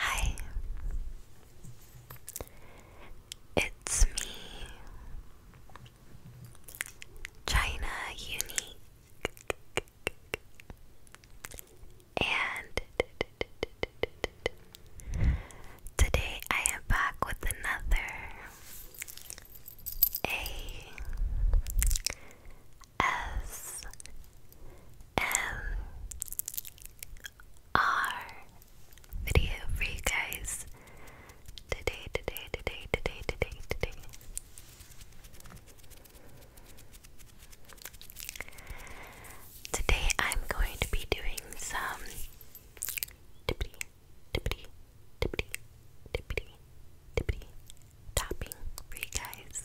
Hi, it's me, China Unique. And today I am back with another A S M R video for you guys today, today, today, today, today, today. Today I'm going to be doing some tippity, tippity, tippity, tippity, tippity tapping for you guys.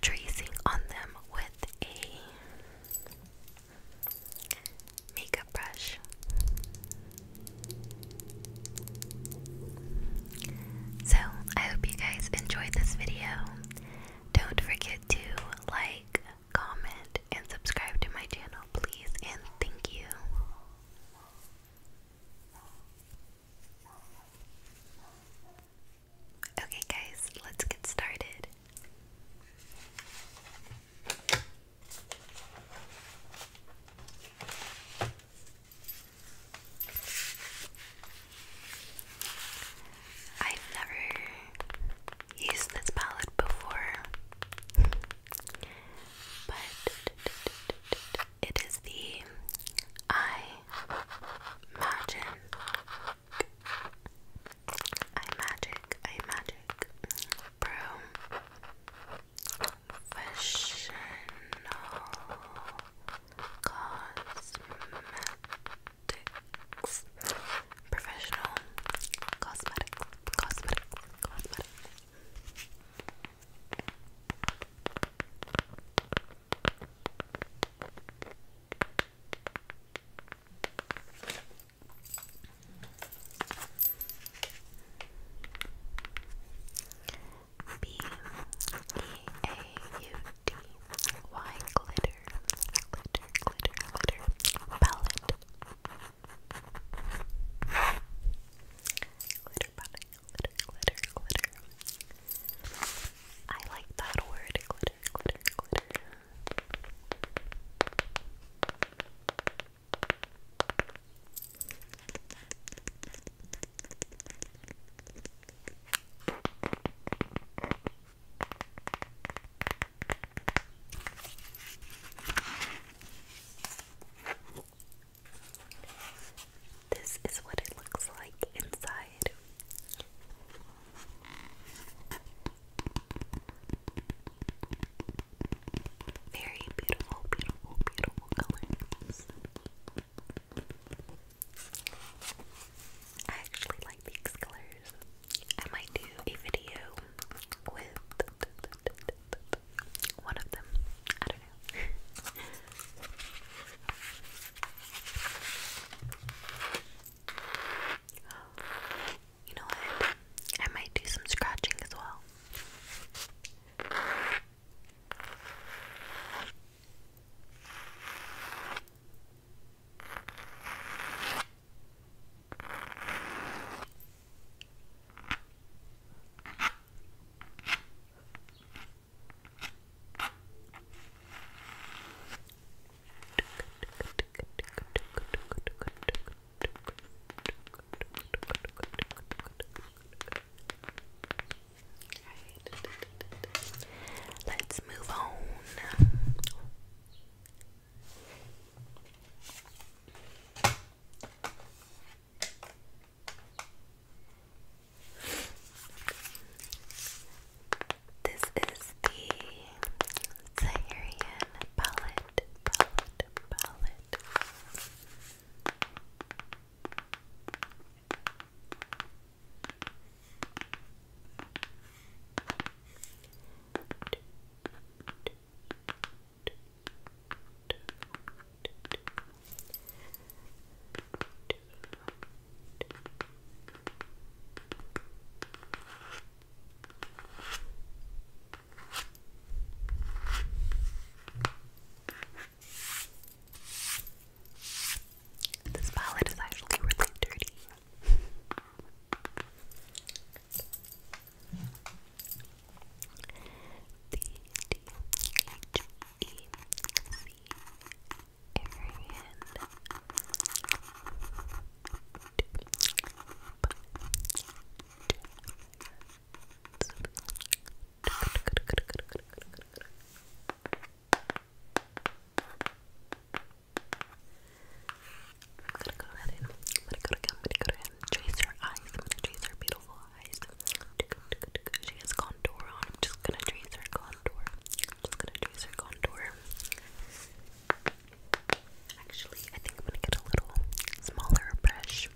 tracing on them with a makeup brush. So, I hope you guys enjoyed this video. Don't forget to like, comment, and subscribe to my channel, please, and thank you. Okay, guys, let's get started. I've never used this palette before, but it is the Eye Magic. I magic. I magic. Professional cosmetics. Professional cosmetics. Cosmetics. Cosmetics. B E A U D Y glitter, glitter, glitter, glitter palette, glitter palette glitter, glitter, glitter. I like that word, glitter, glitter, glitter. This is what it looks like inside. Very beautiful, beautiful, beautiful colors. I actually like these colors. I might do a video with one of them you know what? I might do some scratching as well. Let's move on. This is the Saharian palette, this palette is actually really dirty every hand. I'm gonna go ahead and I'm gonna go ahead and trace her eyes. I'm gonna trace her beautiful eyes. She has contour on. I'm just gonna trace her contour. just gonna trace her contour. Actually, I think I'm gonna get a little smaller brush.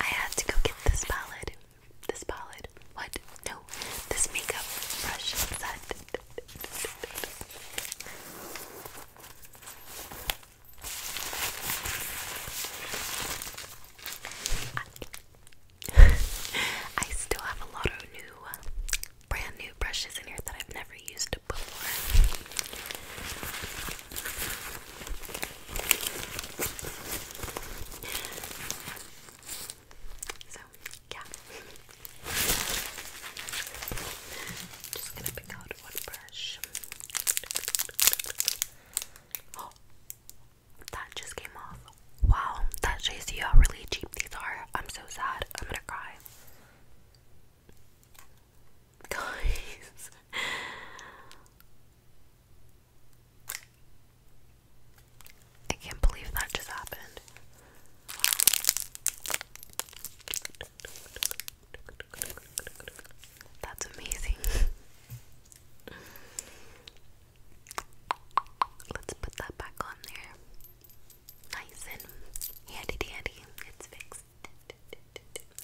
I had to go get this palette. This palette. What? No, this makeup brush set. I still have a lot of new, brand new brushes in here that I've never used before. So, yeah. Just gonna pick out one brush. Oh, that just came off. Wow, that shows you how really cheap these are. I'm so sad. I'm gonna cry. Guys. I can't believe that just happened. That's amazing. Let's put that back on there. Nice and handy dandy. It's fixed.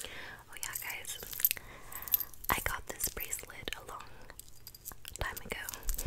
Oh, yeah, guys. I got this bracelet a long time ago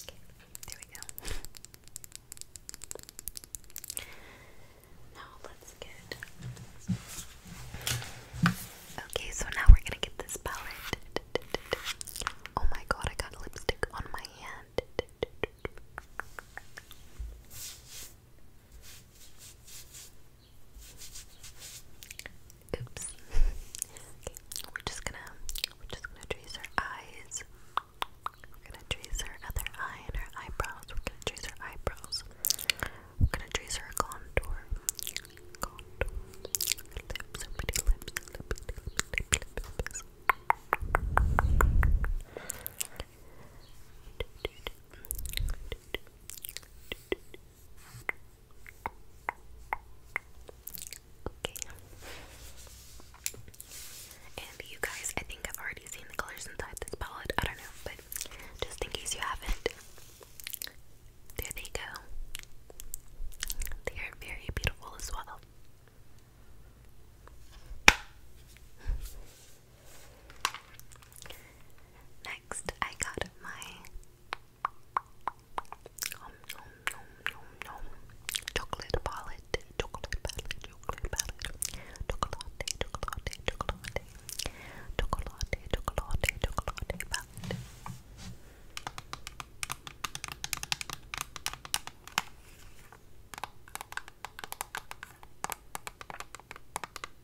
Okay, there we go. now let's get. Okay, so now we're gonna get this palette. Oh my god, I got lipstick on my hand. Oops. we're just gonna we're just gonna trace her eyes. We're gonna trace her other eye and her eyebrows. We're gonna trace her eyebrows. We're gonna trace her contour. lips, her pretty lips, Okay. And you guys, I think I've already seen the colors inside this palette. I don't know, but just in case you haven't, there they go. They are very beautiful as well. Next, I got my um, nom, nom, nom, nom. Chocolate palette, chocolate palette, chocolate palette. Chocolate, chocolate, chocolate. Chocolate, chocolate, chocolate palette. Chocolate,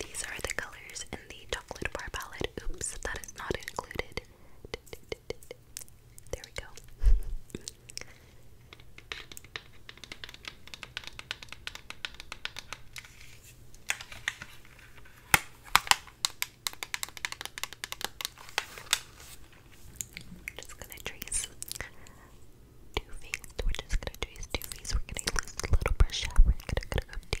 These are the colors in the chocolate bar palette. Oops, that is not included. There we go. We're just gonna trace two things. We're just gonna trace two things. We're gonna use oh, oh. a little brush We're gonna, gonna go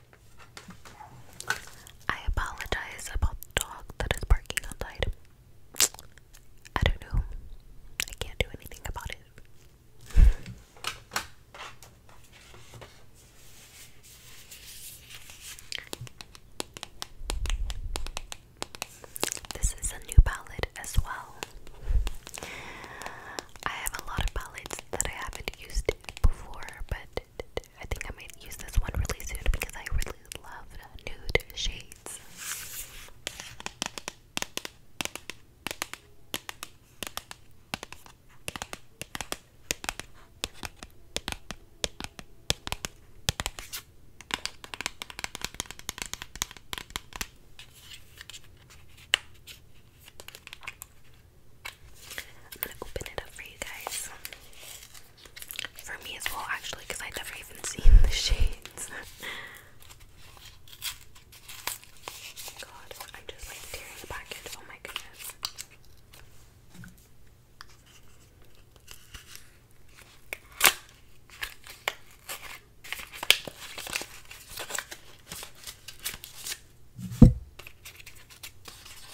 I apologize about the dog that is barking outside. I don't know. I can't do anything about it. This is a new palette as well. I have a lot of palettes that I haven't used before, but I think I might use this one really soon because I really love nude shades. I'm gonna open it up for you guys. For me as well, actually, because I've never even seen the shades. God, I just like tearing the package. Oh my goodness.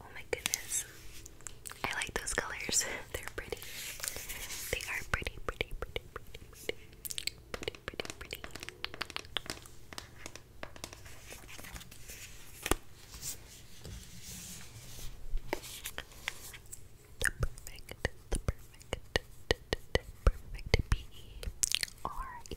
Oh my goodness. I like those colors. They're pretty. They are pretty, pretty, pretty, pretty, pretty, pretty, pretty, pretty. The perfect, the perfect, perfect B E R E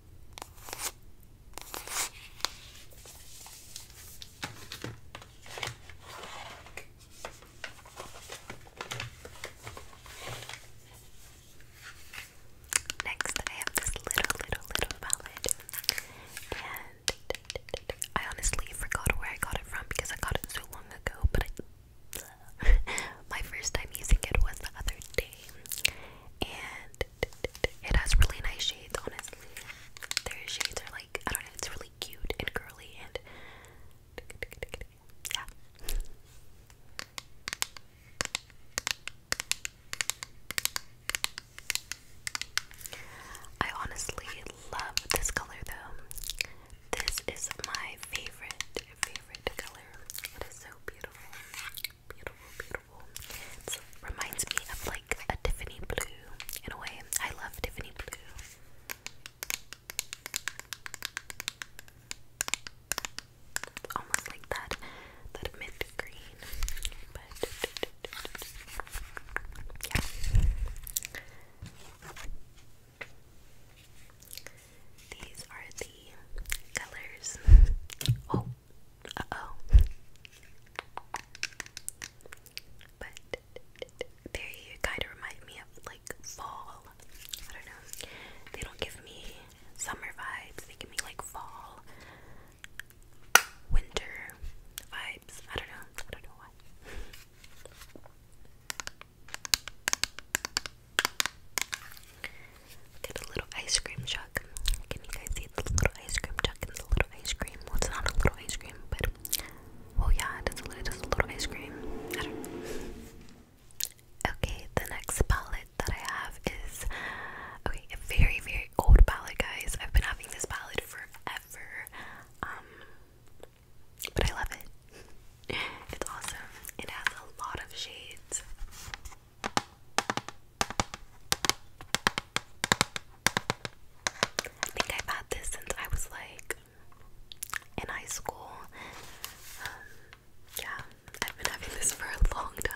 Next, I have this little, little, little palette, and I honestly forgot where I got it from because I got it so long ago. But my first time using it was the other day and it has really nice shades, honestly. Their shades are like, I don't know, it's really cute and curly and yeah. I honestly love this color though. This is my favorite, favorite color. It is so beautiful. Beautiful, beautiful. It reminds me of like a Tiffany blue in a way. I love Tiffany blue. It's almost like that, that mint green. But yeah. These are the colors. oh, uh oh. But they kind of remind me of like fall. I don't know. They don't give me summer vibes, they give me like fall, winter vibes. I don't know. I don't know why. Look at little ice cream jug. Can you guys see the little ice cream jug and the little ice cream? Well, it's not a little ice cream, but well, yeah, it is, a, it is a little ice cream. Okay, the next palette that I have is okay, a very, very old palette, guys. I've been having this palette forever, um, but I love it. It's awesome. It has a lot of shades. I think I've had this since I was like in high school. Um, yeah, I've been having this for a long time.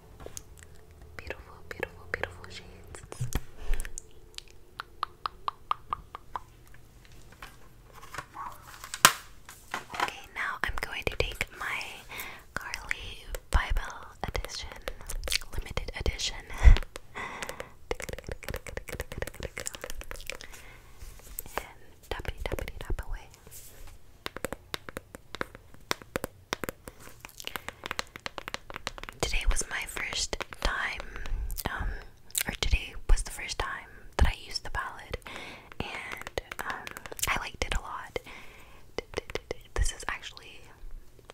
Beautiful, beautiful, beautiful shades. Okay, now I'm going to take my Carly Bible edition, limited edition. and tappity tappity tap away. Today was my first time, um, or today was the first time that I used the palette, and um, I liked it a lot. This is actually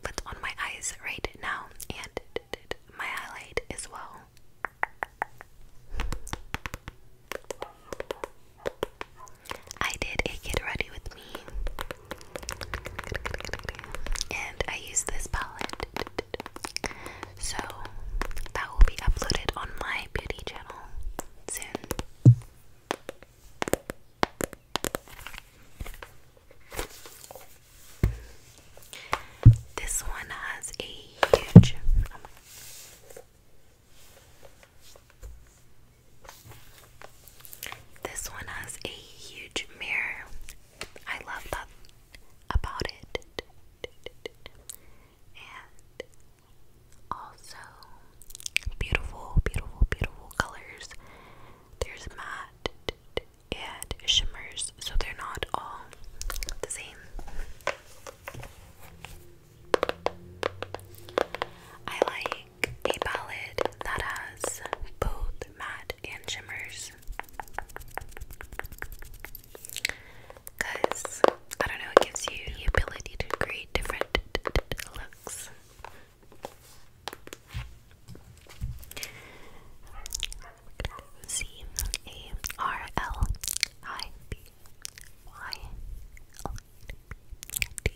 what's on my eyes right now, and my highlight as well. I did a get ready with me and I use this palette. So that will be uploaded on my beauty channel soon. This one has a huge. Um, this one has a huge mirror. I love that about it. And also beautiful, beautiful, beautiful colors. There's matte and shimmers, so they're not all the same. I like a palette that has both matte and shimmers. Because, I don't know, it gives you the ability to create different looks. C A R L I B Y L D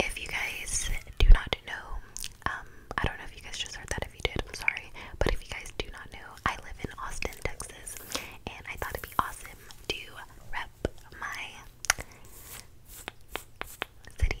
If you guys do not know, um, I don't know if you guys just heard that. If you did, I'm sorry. But if you guys do not know, I live in Austin, Texas, and I thought it'd be awesome to rep my city.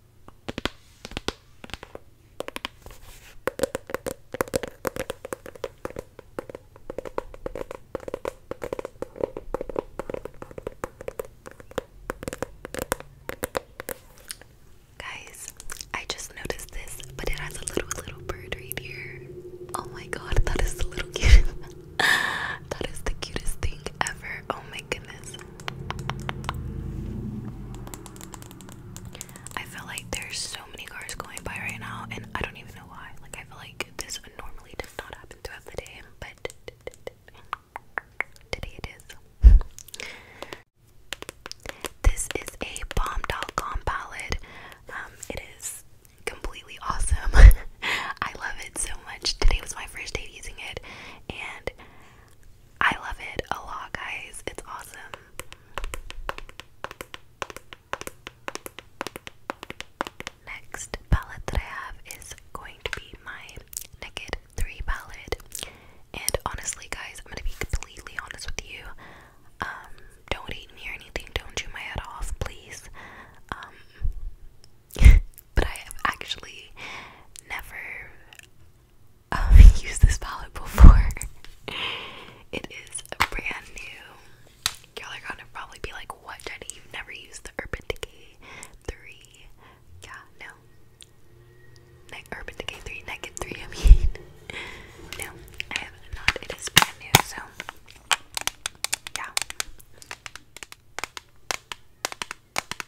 Guys, I just noticed this, but it has a little little bird right here. Oh my god, that is the little cute. that is the cutest thing ever. Oh my my goodness. I feel like there's so many cars going by right now, and I don't even know why. Like, I feel like this normally does not happen throughout the day, but today it is. this is a bomb.com palette. Um, it is completely awesome. I love it so much. Today was my first day using it, and I love it a lot, guys. It's awesome. Next palette that I have is going to be my Naked 3 palette. And honestly, guys, I'm gonna be completely honest with you. Um, don't hate me anything, don't chew my head off, please. Um, but I have actually never um, used this palette before. it is brand new. Y'all are gonna probably be like, what, Jenny? You've never used the Urban Decay 3. Yeah, no. Like Urban Decay 3, Naked 3, I mean. no, I have not. It is brand new, so. Yeah.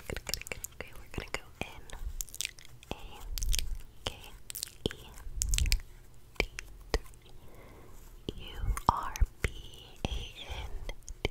Okay, we're gonna go in A K E D U R B A N D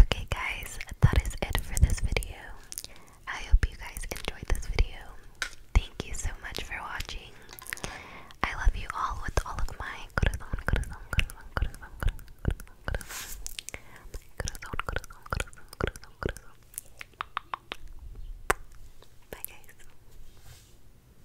Okay, guys, that is it for this video. I hope you guys enjoyed this video. Thank you so much for watching. I love you all with all of my corazón, corazón, corazón, corazón, corazón, corazón, corazón, corazón, corazón, corazón, corazón. Bye, guys.